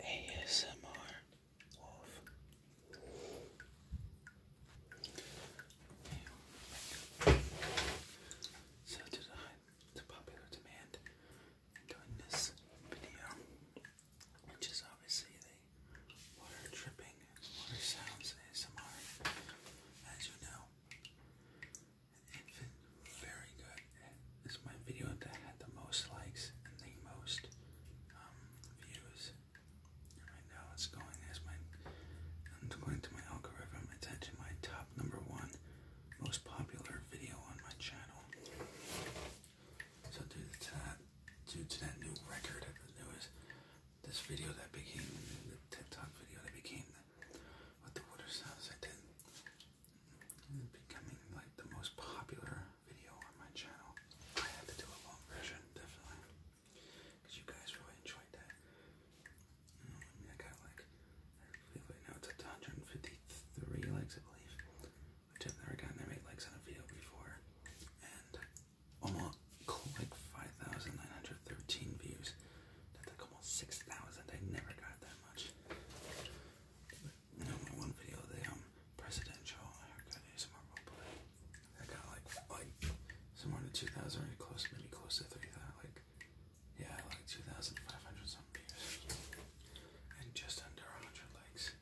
ASMR So to the, popular demand, doing this video, which is obviously the water dripping, water sounds ASMR, as you know. Infant, very good. This is my video that had the most likes and the most um, views. right now it's going as my, i to my algorithm. It's actually my top number one most popular video on my channel. So due to that, due to that new record, there was this video that became the TikTok video that became what the water sounds becoming like the most popular video on my channel. I had to do a long version, definitely, because you guys really enjoyed that. Mm, I, got like, now it's up to likes, I believe, which I've never gotten that many likes on a video before, and almost like 5,913 views. That's like almost 6,000. I never got that much. And only one video of um, presidential oh I got like, like somewhere in 2,000 or close, maybe close to 3,000. Like, yeah, like 2,500 something views. And just under 100 likes.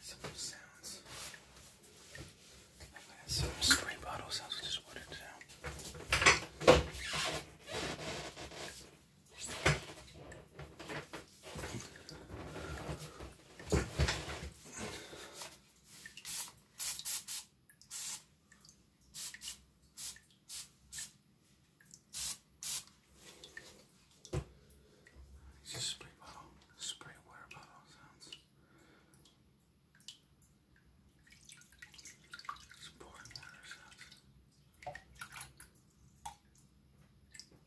Some sounds. Like that. Some spray bottle sounds just watered down. Just spray bottle, spray water bottle sounds. Just pouring water sounds.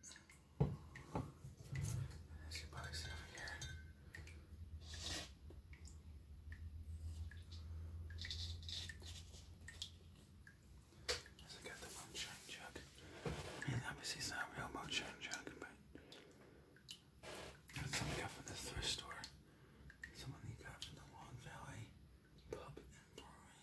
There's your bugs over here. moonshine jug. I mean, obviously it's real moonshine jug, but that's something from the thrift store. Someone got from the Long Valley Pub and Brewery.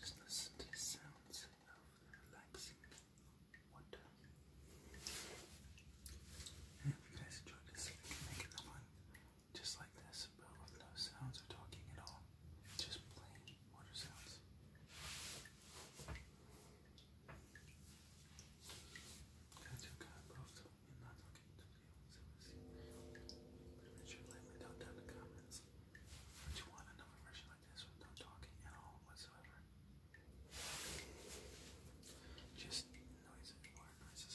Just listen to the sounds of relaxing water. I you guys enjoyed this. If you can make it online, just like this, but with no sounds of talking at all. Just plain water sounds. That's your kind of You're not talking to people. Make sure to leave down in the comments. Would you want another version like this with talking at all whatsoever? Just noises, more noises.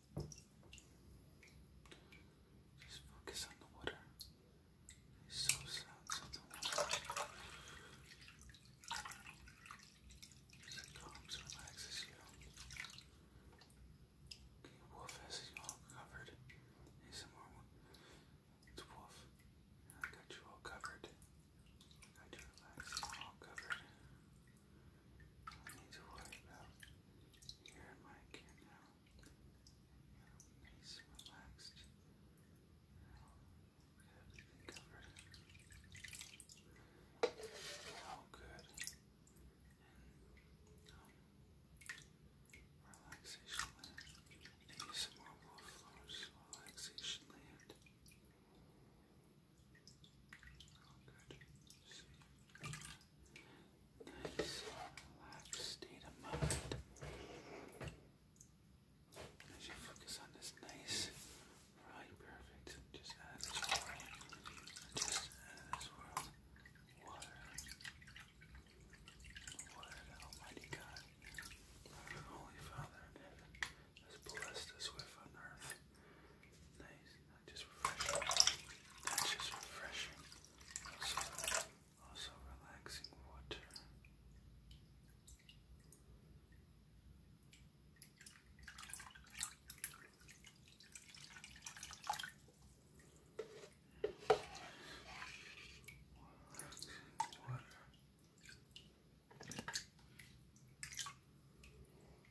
Just focus on the water. There's so sounds It calms, relaxes you. Wolf has you all covered. Need some Wolf. I got you all covered. got you relaxed, all covered need to worry about here now. You're nice, relaxed. Everything covered. How good relaxation land. Maybe some more wolf flowers. Relaxation land. Good. Nice, relaxed state of mind. As you focus on this nice, right, perfect. Just add Just add this world. Water. Water, Almighty God. Holy Father that's blessed us with on earth. Nice, just refreshing, just refreshing, also relaxing water. Water.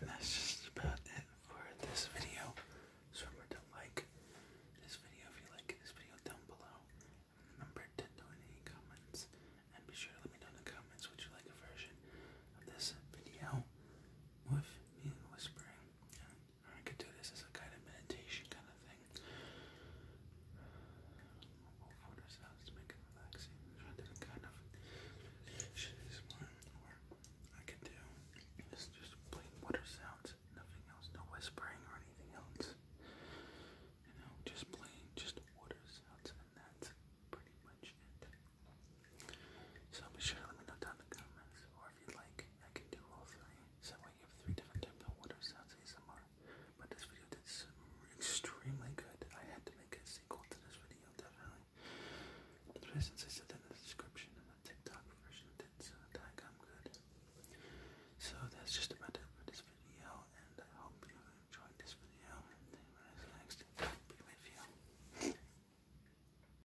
And that's just about it for this video. So remember to like this video if you like this video down below. remember to donate any comments. And be sure to let me know in the comments would you like a version of this video with me whispering. Or I could do this as a kind of meditation kind of thing. We'll make it relaxing. Try kind of shit is Or I could do this just plain water sounds, nothing else, no whispering or anything else. You know, just plain, just water sounds, and that's pretty much it. So be sure to let me know down in the comments, or if you like, I can do all three. So I give three different types of water sounds ASMR. But this video did extremely good. I had to make a sequel to this video, definitely. But since said that in the description, and the TikTok version did so that I'm good. So that's just about it for this video, and I hope you enjoyed this video. And then next, be with you.